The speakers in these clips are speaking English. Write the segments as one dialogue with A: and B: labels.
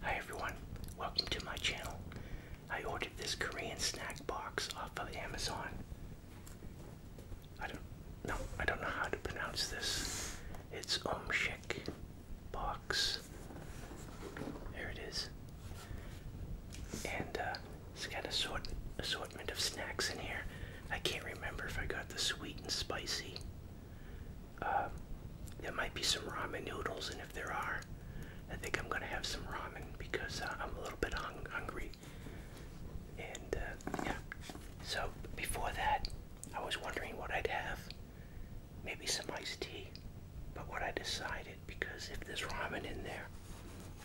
A: Hi everyone, welcome to my channel. I ordered this Korean snack box off of Amazon. I don't no, I don't know how to pronounce this. It's Omshik box. There it is. And uh, it's got a sort assortment of snacks in here. I can't remember if I got the sweet and spicy um, there might be some ramen noodles, and if there are, I think I'm gonna have some ramen because uh, I'm a little bit hung hungry. And uh, yeah, so before that, I was wondering what I'd have. Maybe some iced tea. But what I decided, because if there's ramen in there,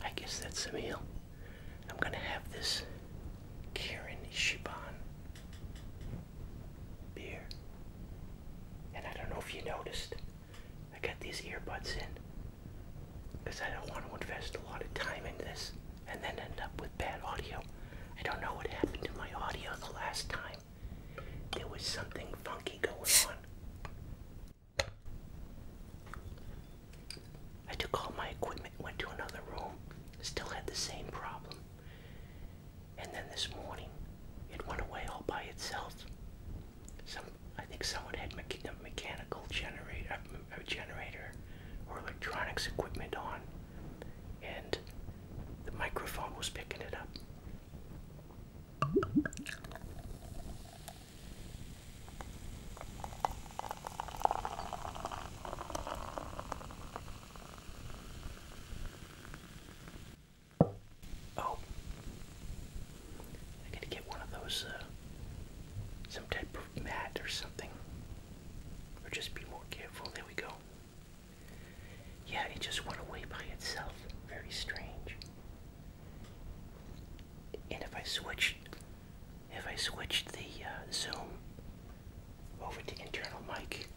A: I guess that's a meal. I'm gonna have this Kirin Shiban beer. And I don't know if you noticed, I got these earbuds in because I don't want to invest a lot of time in this and then end up with bad audio. I don't know what happened to my audio the last time. There was something funky going on. I took all my equipment, went to another room, still had the same problem. And then this morning, it went away all by itself. Some, I think someone had me a mechanical generator, or electronics equipment on, and the microphone was picking it up. Oh, I gotta get one of those, uh, some type of mat or something. Or just be more careful. There we go. Yeah, it just went away by itself. Very strange. And if I switch, if I switched the uh, zoom over to internal mic,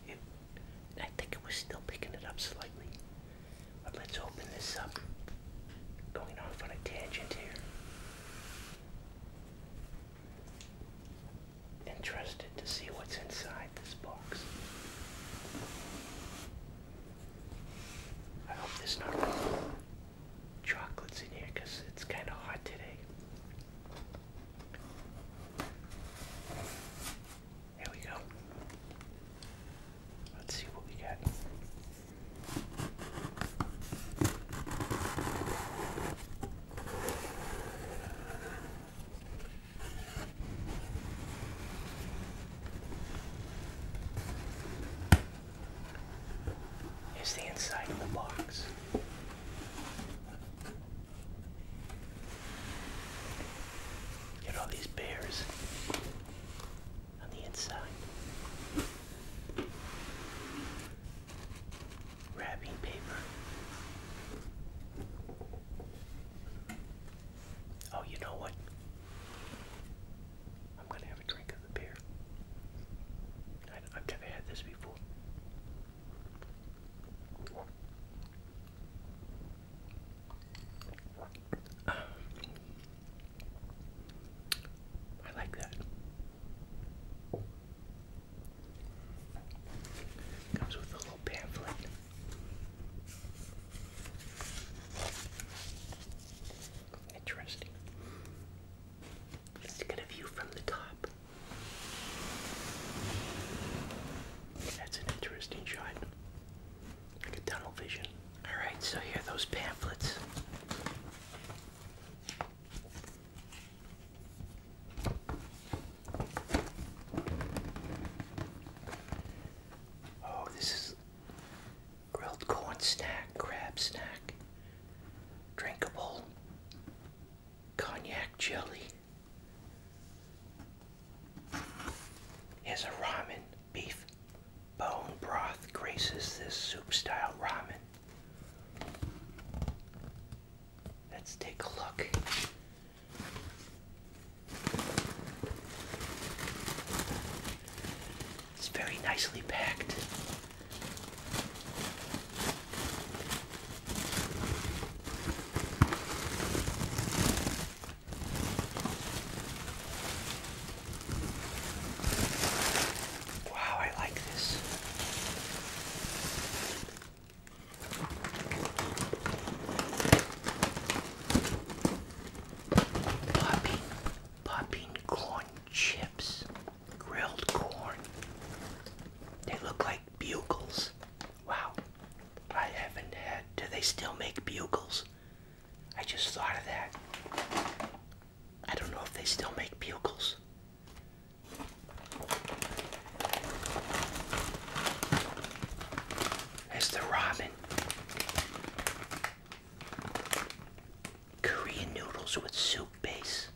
A: I think it was still picking it up slightly. But let's open this up. Going off on a tangent here. Interested to see what's inside this box. I hope there's not chocolates in here because it's kind of hot today. Here we go. Let's see what we got. Here's the inside of the box. Get all these bears on the inside. Wrapping paper. Oh, you know what? I'm gonna have a drink of the beer. I, I've never had this before. I like that. Comes with a little pamphlet. Interesting. Let's get a from the top. That's an interesting shot. Like a tunnel vision. Alright, so here are those pamphlets. Oh, this is grilled corn snack, crab snack, drinkable, cognac jelly. As a ramen, beef bone broth graces this soup-style ramen. Let's take a look. It's very nicely packed. Wow, I like this. Popping, popping corn chips, grilled corn. They look like bugles. Wow. I haven't had. Do they still make bugles? I just thought of that. I don't know if they still make bugles. There's the ramen. Korean noodles with soup base.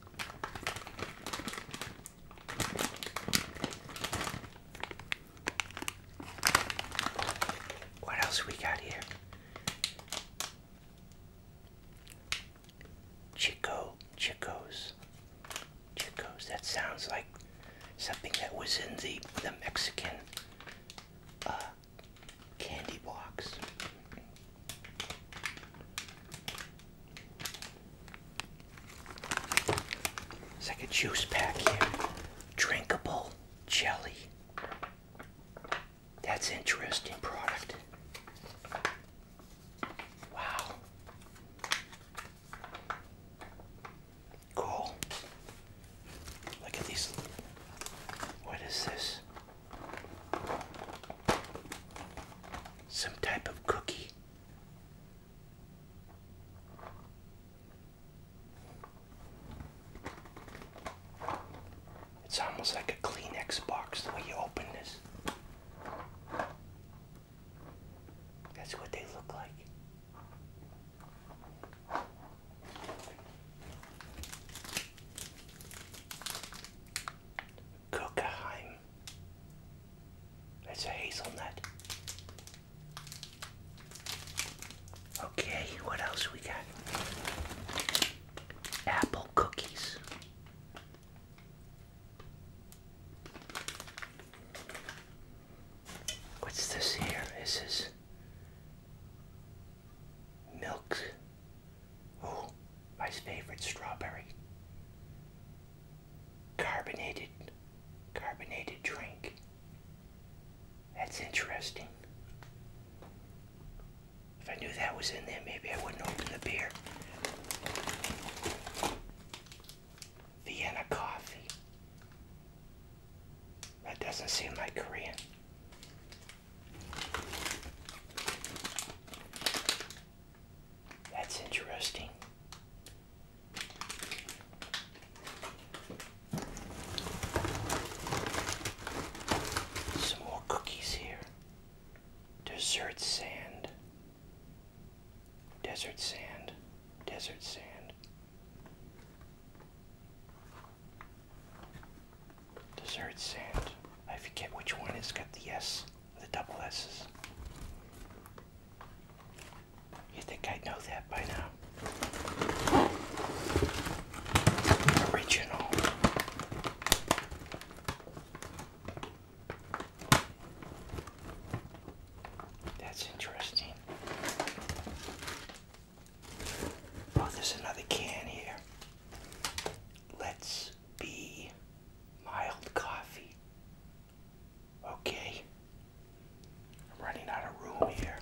A: What else we got here? Chico, Chicos, Chicos. That sounds like something that was in the the Mexican uh, candy box. It's like a juice pack here. Drinkable jelly. That's interesting product. Wow. Cool. Look at these. What is this? Some type of cookie. It's almost like a Kleenex box the way you open this. That's what they look like. Kokaheim that's a hazelnut. Okay, what else we got? Apple cookies. What's this here? This is milk. Oh, my favorite strawberry carbonated carbonated drink. That's interesting. If I knew that was in there, maybe I wouldn't open the beer. Vienna coffee. That doesn't seem like Korean. That's interesting. Some more cookies here. Desert sand. Desert sand. Desert sand. Desert sand. I forget which one has got the S the double S's. You think I know that by now? Original. That's interesting. Oh, there's another can here. Let's be mild coffee. Okay. I'm running out of room here.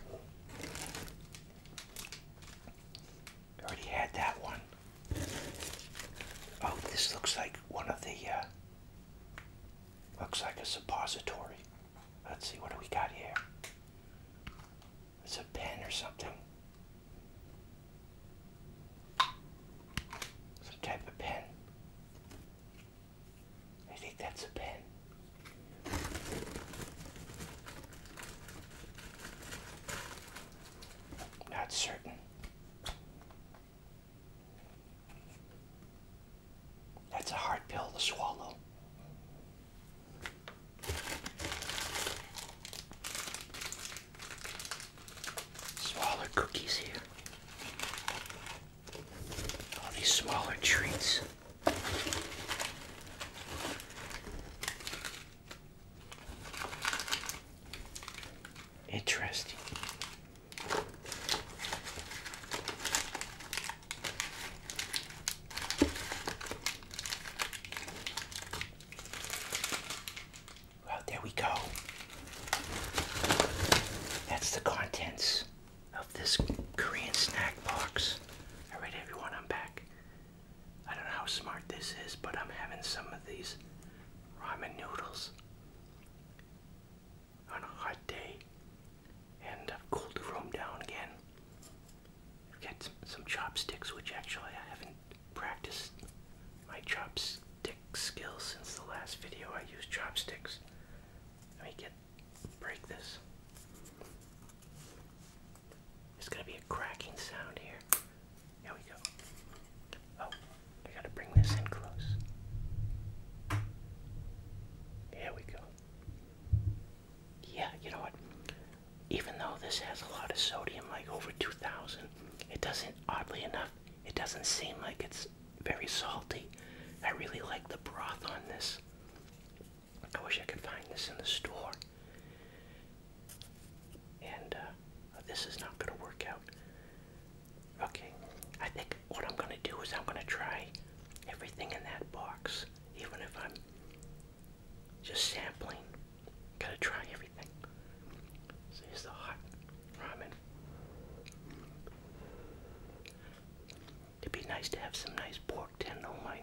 A: already had that one. Oh, this looks like one of the, uh, looks like a suppository. Let's see, what do we got here? It's a pen or something. Some type of pen. I think that's a pen. Not certain. That's a hard pill to swallow. Smaller cookies here. All these smaller treats. Interesting. Well, there we go. That's the contents of this Korean snack box. All right, everyone, I'm back. I don't know how smart this is, but I'm having some of these ramen noodles on a hot day. And I've cooled the room down again. I've got some chopsticks, which actually I haven't practiced my chopsticks chopstick skill since the last video I used chopsticks. Let me get break this. There's gonna be a cracking sound here. Here we go. Oh, I gotta bring this in close. There we go. Yeah, you know what? Even though this has a lot of sodium, like over 2,000, it doesn't, oddly enough, it doesn't seem like it's very salty. I really like the broth on this. I wish I could find this in the store. And uh, this is not going to work out. Okay, I think what I'm going to do is I'm going to try everything in that box, even if I'm just sampling. Gotta try everything. So here's the hot ramen. It'd be nice to have some nice pork tenderloin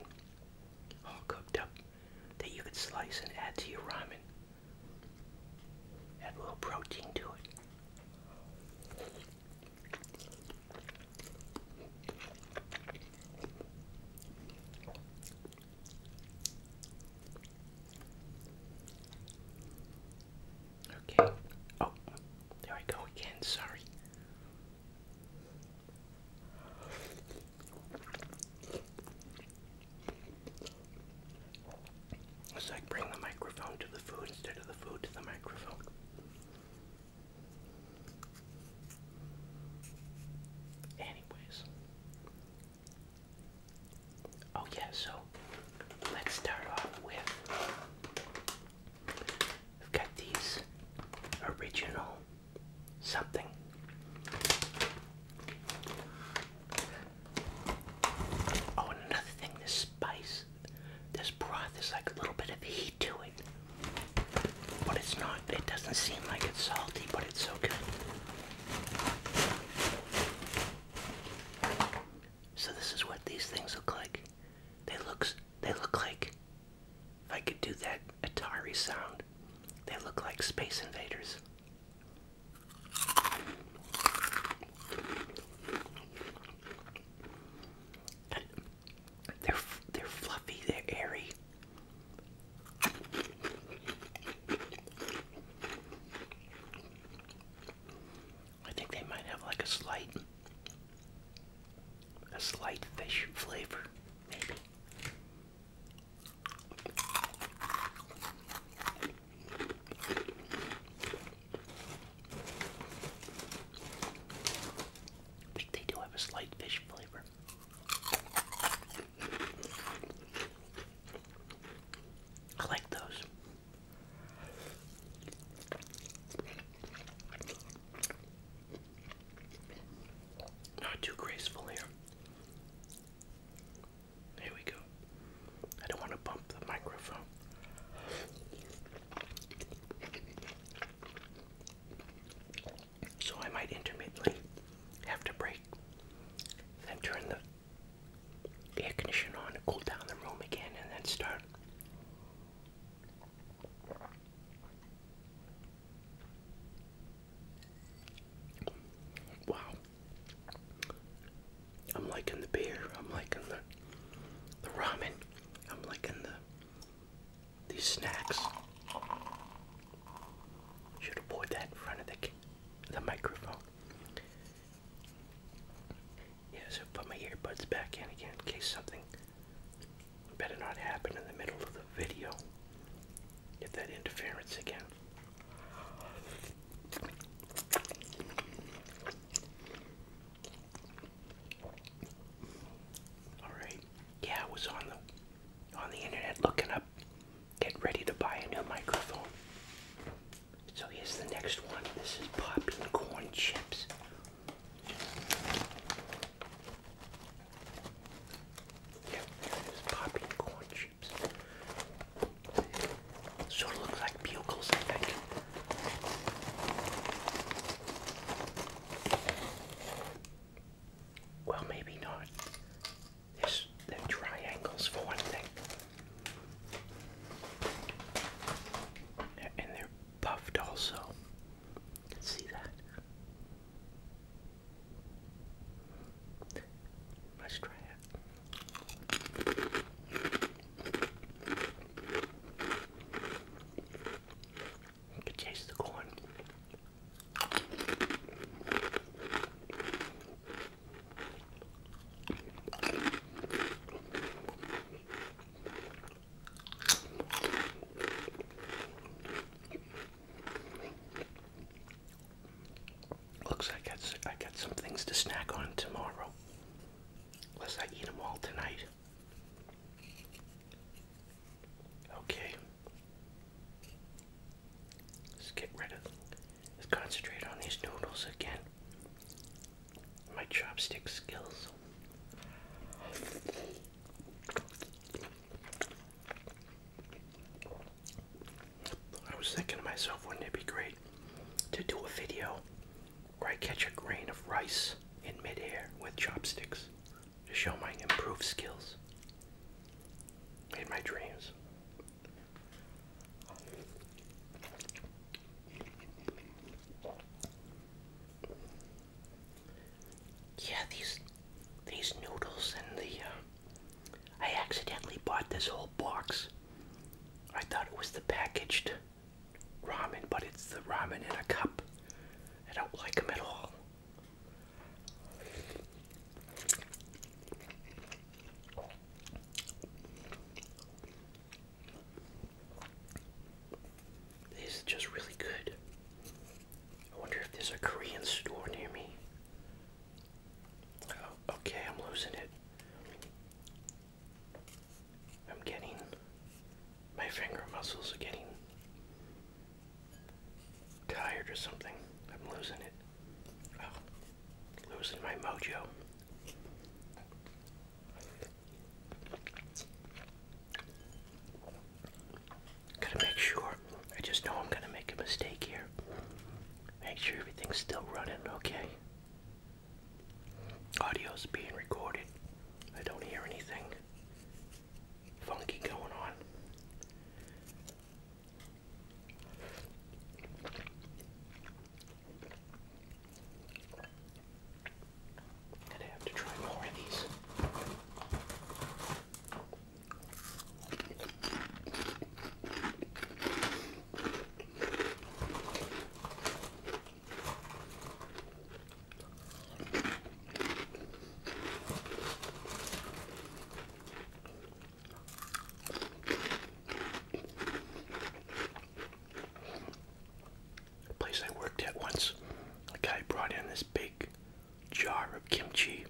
A: all cooked up that you could slice and add to your ramen. Add a little protein to it. Okay. Oh, there I go again. Sorry. It's bring the microphone to the food instead of the food to the microphone. Anyways, Oh yeah, so let's start off with I've got these original something. Oh, and another thing, this spice, this broth is like a little bit of heat to it. But it's not, it doesn't seem like it's salty, but it's so good. So this is what these things look like. They looks they look like if I could do that Atari sound, they look like Space Invaders. They're they're fluffy, they're airy. I think they might have like a slight a slight fish flavor, maybe. I think they do have a slight fish flavor. I like those. Not too graceful here. Here we go. I don't want to bump the microphone. So I might intermittently have to break, then turn the air conditioner on to cool down the room again and then start wow i'm liking the beer i'm liking the the ramen i'm liking the these snacks should have that in front of the the microphone yeah, so put my earbuds back in again in case something better not happen in the middle of the video. Get that interference again. Alright. Yeah, I was on the on the internet looking up, get ready to buy a new microphone. So here's the next one. This is popping corn chips. Yeah, it's popping corn chips. Sort of looks like bugles, I think. Well, maybe not. There's, they're triangles for one thing. And they're puffed also. see that. let try it. taste the corn. Looks like I got some things to snack on tomorrow. Unless I eat them all tonight. Okay. Let's get rid of. Let's concentrate on these noodles again my chopstick skills. I was thinking to myself, wouldn't it be great to do a video where I catch a grain of rice in midair with chopsticks to show my improved skills in my dreams? Yeah, these these noodles and the uh, I accidentally bought this whole box. I thought it was the packaged ramen, but it's the ramen in a cup. I don't like them at all. This is just really good. I wonder if there's a Korean store near me. Oh, okay, I'm losing it. I'm getting. My finger muscles are getting tired or something. I'm losing it. Oh. Losing my mojo. Gotta make sure. I just know I'm gonna make a mistake here. Make sure everything's still running okay. Audio's being recorded. I don't hear anything funky going on. I'm gonna have to try more of these a place I worked at once, a guy brought in this big jar of kimchi,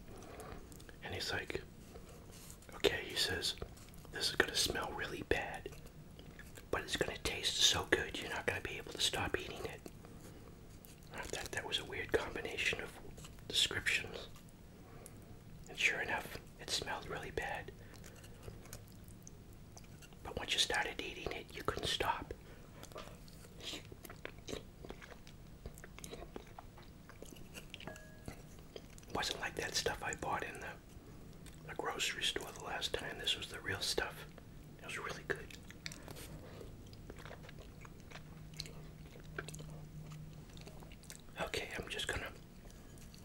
A: and he's like, okay, he says, this is going to smell really bad, but it's going to taste so good you're not going to be able to stop eating it. I thought that was a weird combination of descriptions. And sure enough, it smelled really bad. But once you started eating it, you couldn't stop. It wasn't like that stuff I bought in the, the grocery store the last time. This was the real stuff. It was really good. Okay, I'm just gonna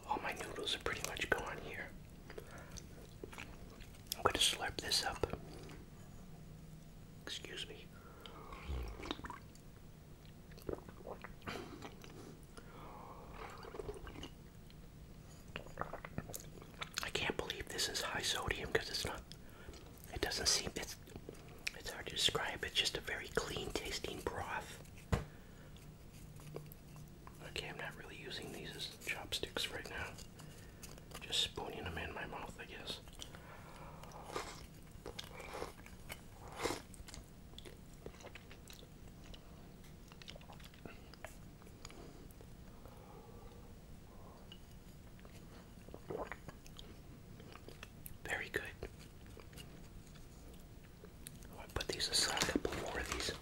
A: all my noodles are pretty much gone here. I'm going to slurp this up. Excuse me. I can't believe this is high sodium because it's not. It doesn't seem it's. It's hard to describe. It's just a very clean tasting broth. Okay, I'm not really using these as chopsticks right now. Just spooning them in my mouth, I guess. Very good. Oh, I put these aside. A couple more of these.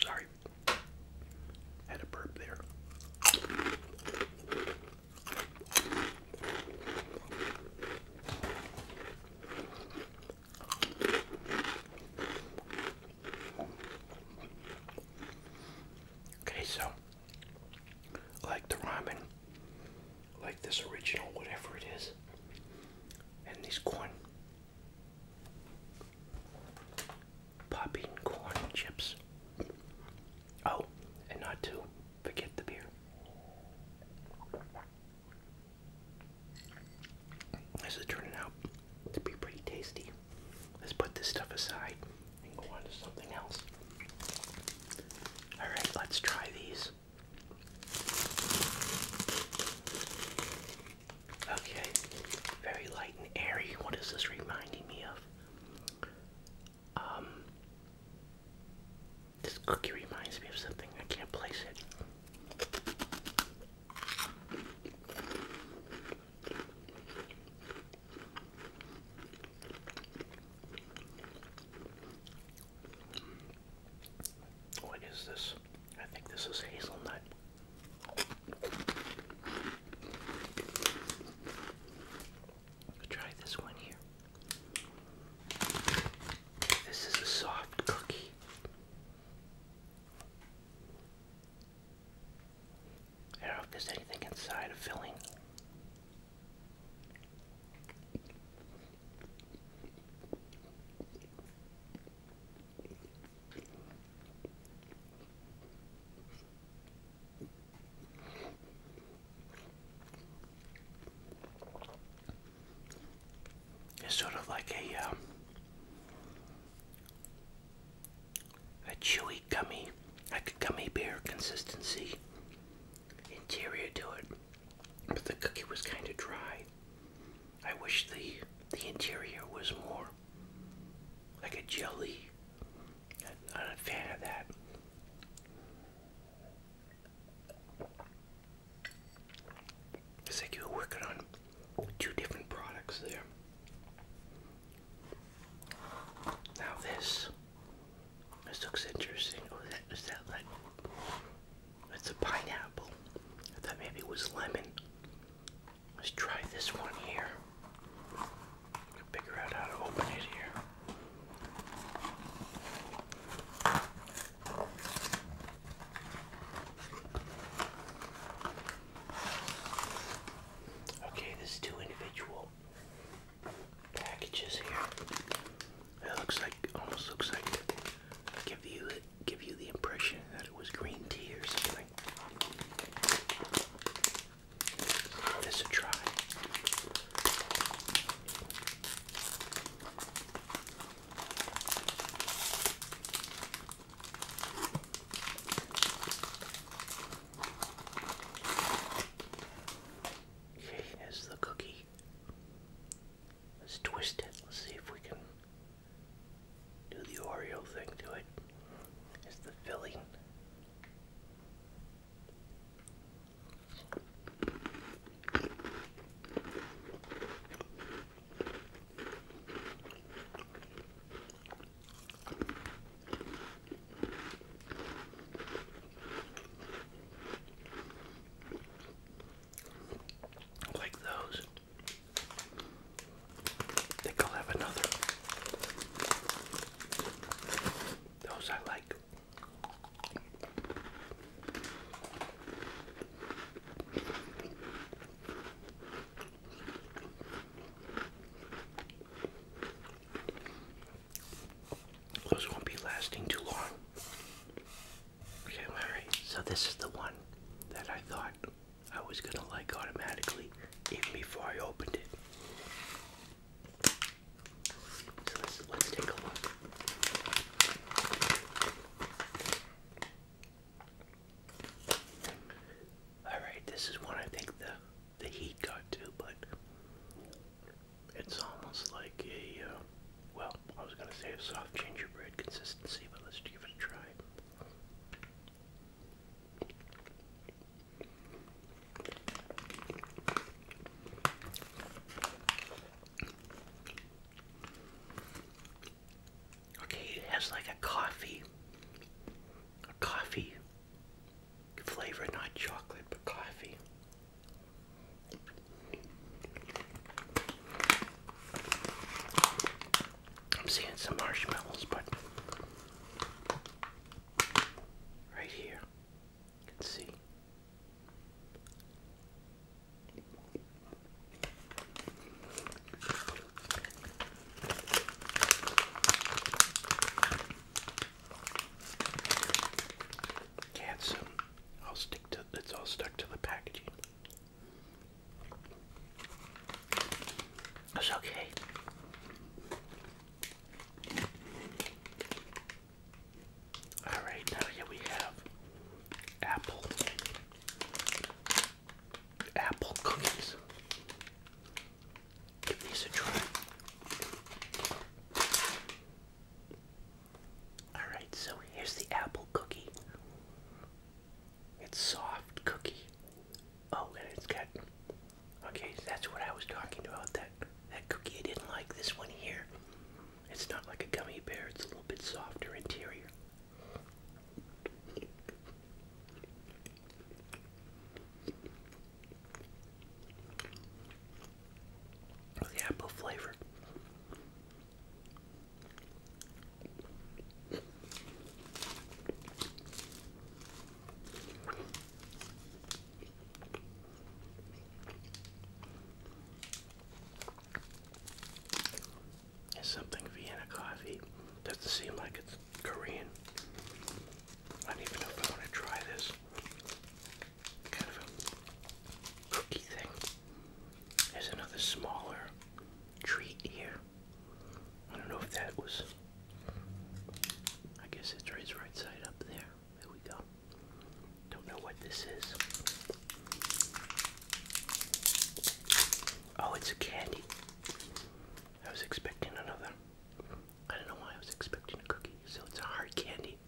A: Sorry, had a burp there. Okay, so like the ramen, like this original, whatever it is, and these corn popping corn chips. Oh, and not to forget the beer. This is turning out to be pretty tasty. Let's put this stuff aside and go on to something else. Alright, let's try these. Okay, very light and airy. What is this reminding me of? Um, this cookie reminds me of something. I can't place it. What is this? I think this is hazelnut. try this one here. This is a soft cookie. I don't know if there's anything inside of filling. It's sort of like a um, a chewy gummy, like a gummy bear consistency interior to it. But the cookie was kind of dry. I wish the the interior was more like a jelly. I'm not a fan of that. It's like you are working on two different products there. Now this, this looks interesting. Oh, that is that like it's a pineapple. I thought maybe it was lemon. Let's try this one here. Figure out how to open it here. Okay, there's two individual packages here. It looks like almost looks like give you give you the impression that it was green tea or something. Give this a try. Here's the cookie. Let's twist it. Let's see if we can do the Oreo thing to it. It's the filling. Like those. I think have another. Those I like. Those won't be lasting too long. Okay, alright. So this is the one that I thought I was gonna like automatically even before I opened it. So let's let's take a look. Alright, this is one I think the the heat got to, but it's almost like a uh, well, I was gonna say a soft gingerbread consistency, but let's give it a try. Okay, it has like a coffee, a coffee flavor, not chocolate, but coffee. I'm seeing some marshmallows, but right here, you can see yeah, I'll um, stick to it's all stuck to the packaging. It's okay. All right, now here we have apple apple cookies. Give these a try. Alright, so here's the apple cookie. It's soft cookie. Oh, and it's got. Okay, that's what I was talking about. That that cookie I didn't like. This one here. It's not like a gummy bear. It's a little bit softer interior. The apple flavor. It's something Vienna coffee. Doesn't seem like it's Korean. I don't even know if I want to try this. Kind of a cookie thing. There's another smaller treat here. I don't know if that was. I guess it's right side up there. There we go. Don't know what this is. Oh, it's a candy. I was expecting another. I don't know why I was expecting a cookie, so it's a hard candy.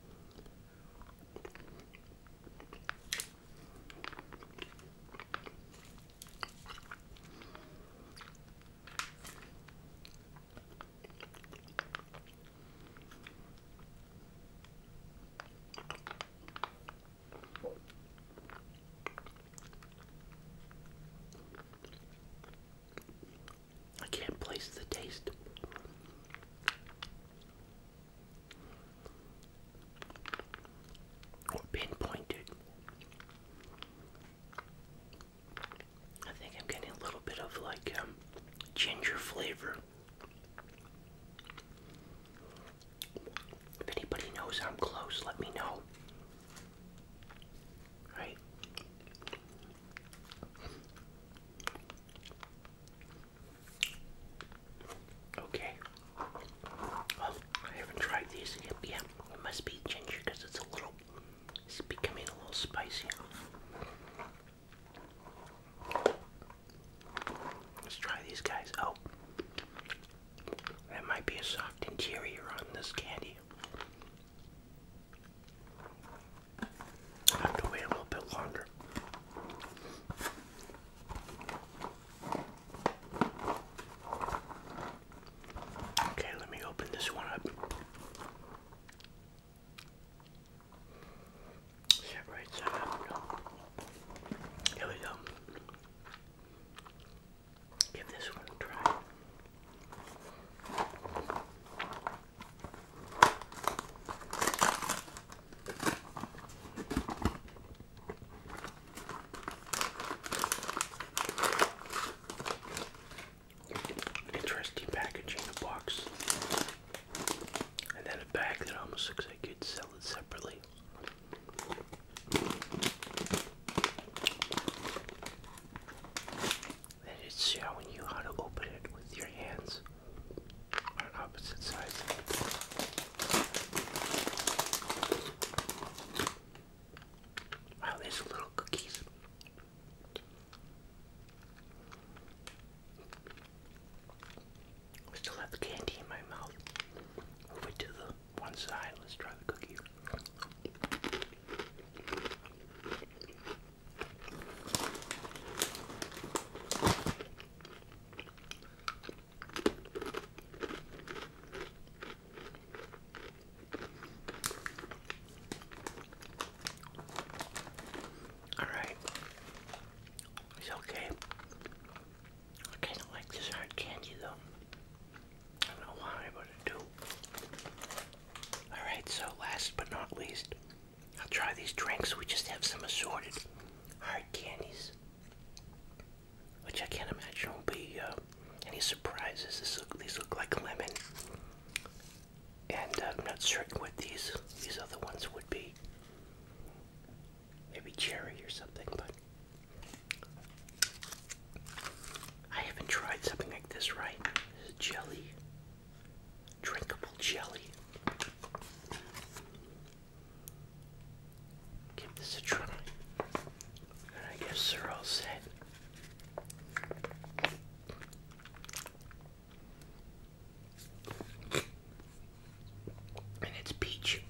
A: I can't place the taste. Or pinpointed. I think I'm getting a little bit of like um, ginger flavor. If anybody knows I'm close, let me know. Right? Okay. Well, I haven't tried these yet. Yeah, it must be ginger because it's a little, it's becoming a little spicy. Let's try these guys. Oh, there might be a soft interior on this candy. have to wait a little bit longer. Okay, let me open this one up. Here we go. Give this one a try. Interesting packaging, the box, and then a bag that almost looks like you could sell it separately. And it's showing you how to open it with your hands on opposite sides. Wow, these little cookies. I still have the candy in my mouth. Move to the one side. Let's try the cookie. All right, it's okay. I kind of like this hard candy though. I don't know why, but I do. Alright, so last but not least, I'll try these drinks. We just have some assorted hard candies. Which I can't imagine will be uh, any surprises. these look like lemon. And I'm not certain what these, these other ones would be. Maybe cherry or something, but I haven't tried something like this, right? This is jelly. Drinkable jelly. Give this a try. I guess they're all set and it's peach,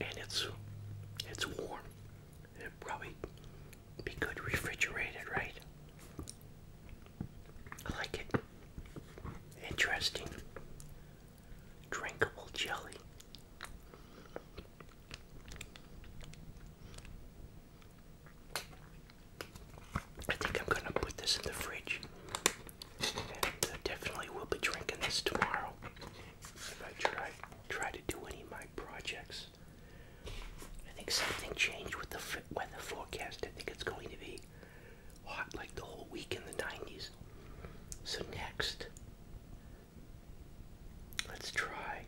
A: and it's it's warm. It'd probably be good refrigerated, right? I like it. Interesting. Drinkable jelly. I think I'm gonna put this in the fridge I definitely will be drinking this tomorrow. If I try try to do any of my projects, I think something changed with the weather forecast. I think it's going to be hot like the whole week in the 90s. So next, let's try.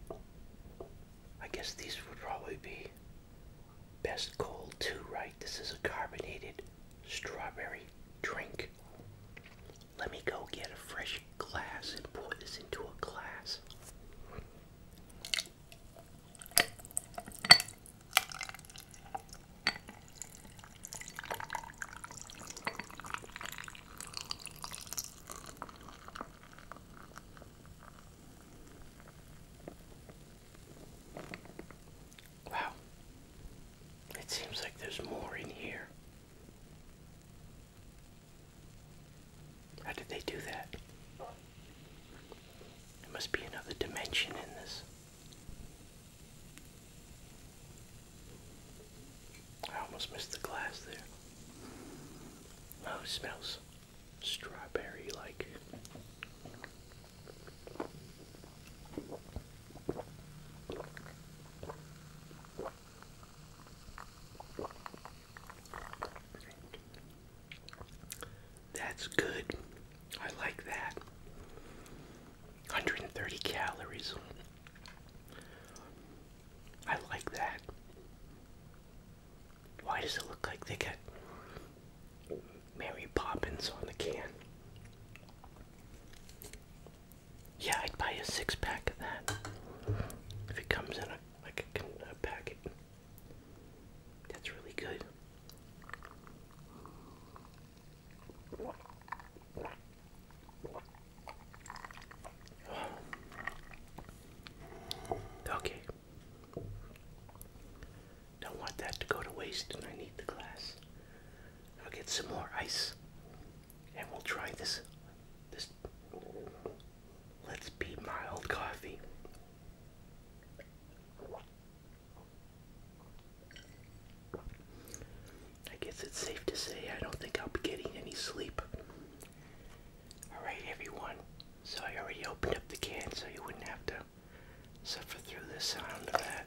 A: I guess these would probably be best cold too, right? This is a carbonated strawberry drink. Let me go get a fresh glass and pour this into a glass. Wow. It seems like there's more in here. How did they do that? There must be another dimension in this. I almost missed the glass there. Oh, smells strawberry like. That's good. I like that. 130 calories. I like that. Why does it look like they got Mary Poppins on the can? Yeah, I'd buy a six pack of that if it comes in a, like a, packet. That's really good. Okay. Don't want that to go to waste, and I need the glass I'll get some more ice and we'll try this this let's be mild coffee. I guess it's safe to say I don't think I'll be getting any sleep. Alright everyone. So I already opened up the can so you wouldn't have to suffer through the sound of that.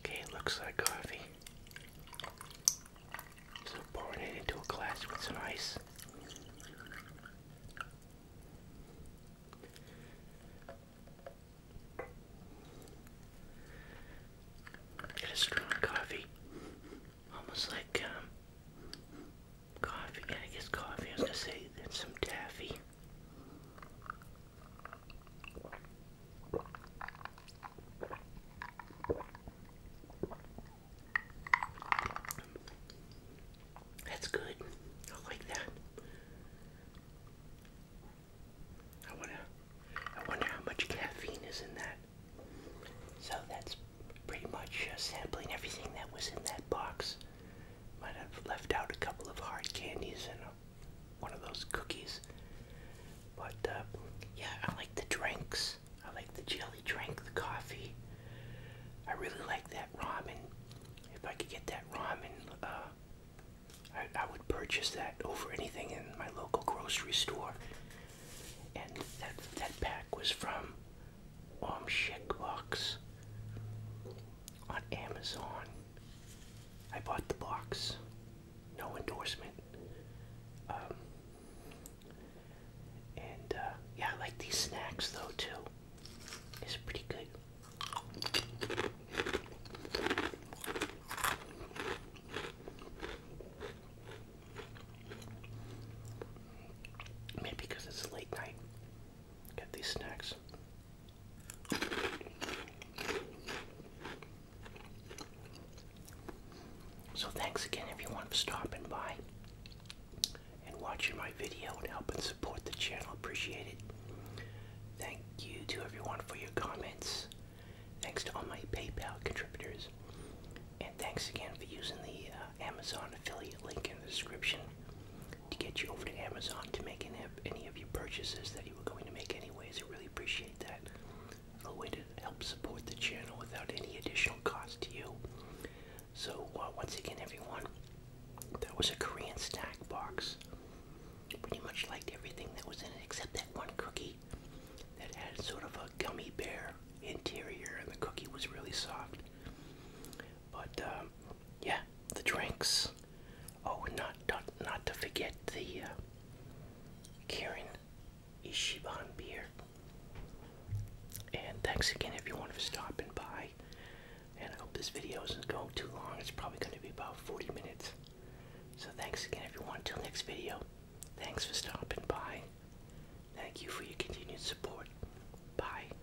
A: Okay, it looks like coffee. Uh, so pouring it into a glass with some ice. Got a strong coffee. Almost like um coffee. I guess coffee. I was gonna say that's some taffy. That's good. I like that. I wonder I wonder how much caffeine is in that. So that's pretty much uh, sampling everything that was in that box. Might have left out a couple of hard candies and one of those cookies. But uh, yeah, I like the drinks. I like the jelly drink, the coffee. I really like that ramen. If I could get that ramen, uh, I, would purchase that over anything in my local grocery store. And that that pack was from Om on Amazon. I bought the box. No endorsement. Um, and uh, yeah, I like these snacks though too. It's pretty good. Maybe because it's late night. Get these snacks. So thanks again everyone for stopping by and watching my video and helping support the channel. Appreciate it. Thank you to everyone for your comments. Thanks to all my PayPal contributors. And thanks again for using the uh, Amazon affiliate link in the description to get you over to Amazon to make any of your purchases that you were going to make anyways. I really appreciate that. A way to help support the channel without any additional cost to you. So uh, once again, everyone, that was a Korean snack box. Pretty much liked everything that was in it except that one cookie that had sort of a gummy bear interior, and the cookie was really soft. But um, yeah, the drinks. Oh, not not, not to forget the uh, Karen Ishiban beer. And thanks again everyone for stopping by. And I hope this video isn't going too long. It's probably going to be about 40 minutes. So thanks again everyone. Till next video. Thanks for stopping by. Thank you for your continued support. Bye.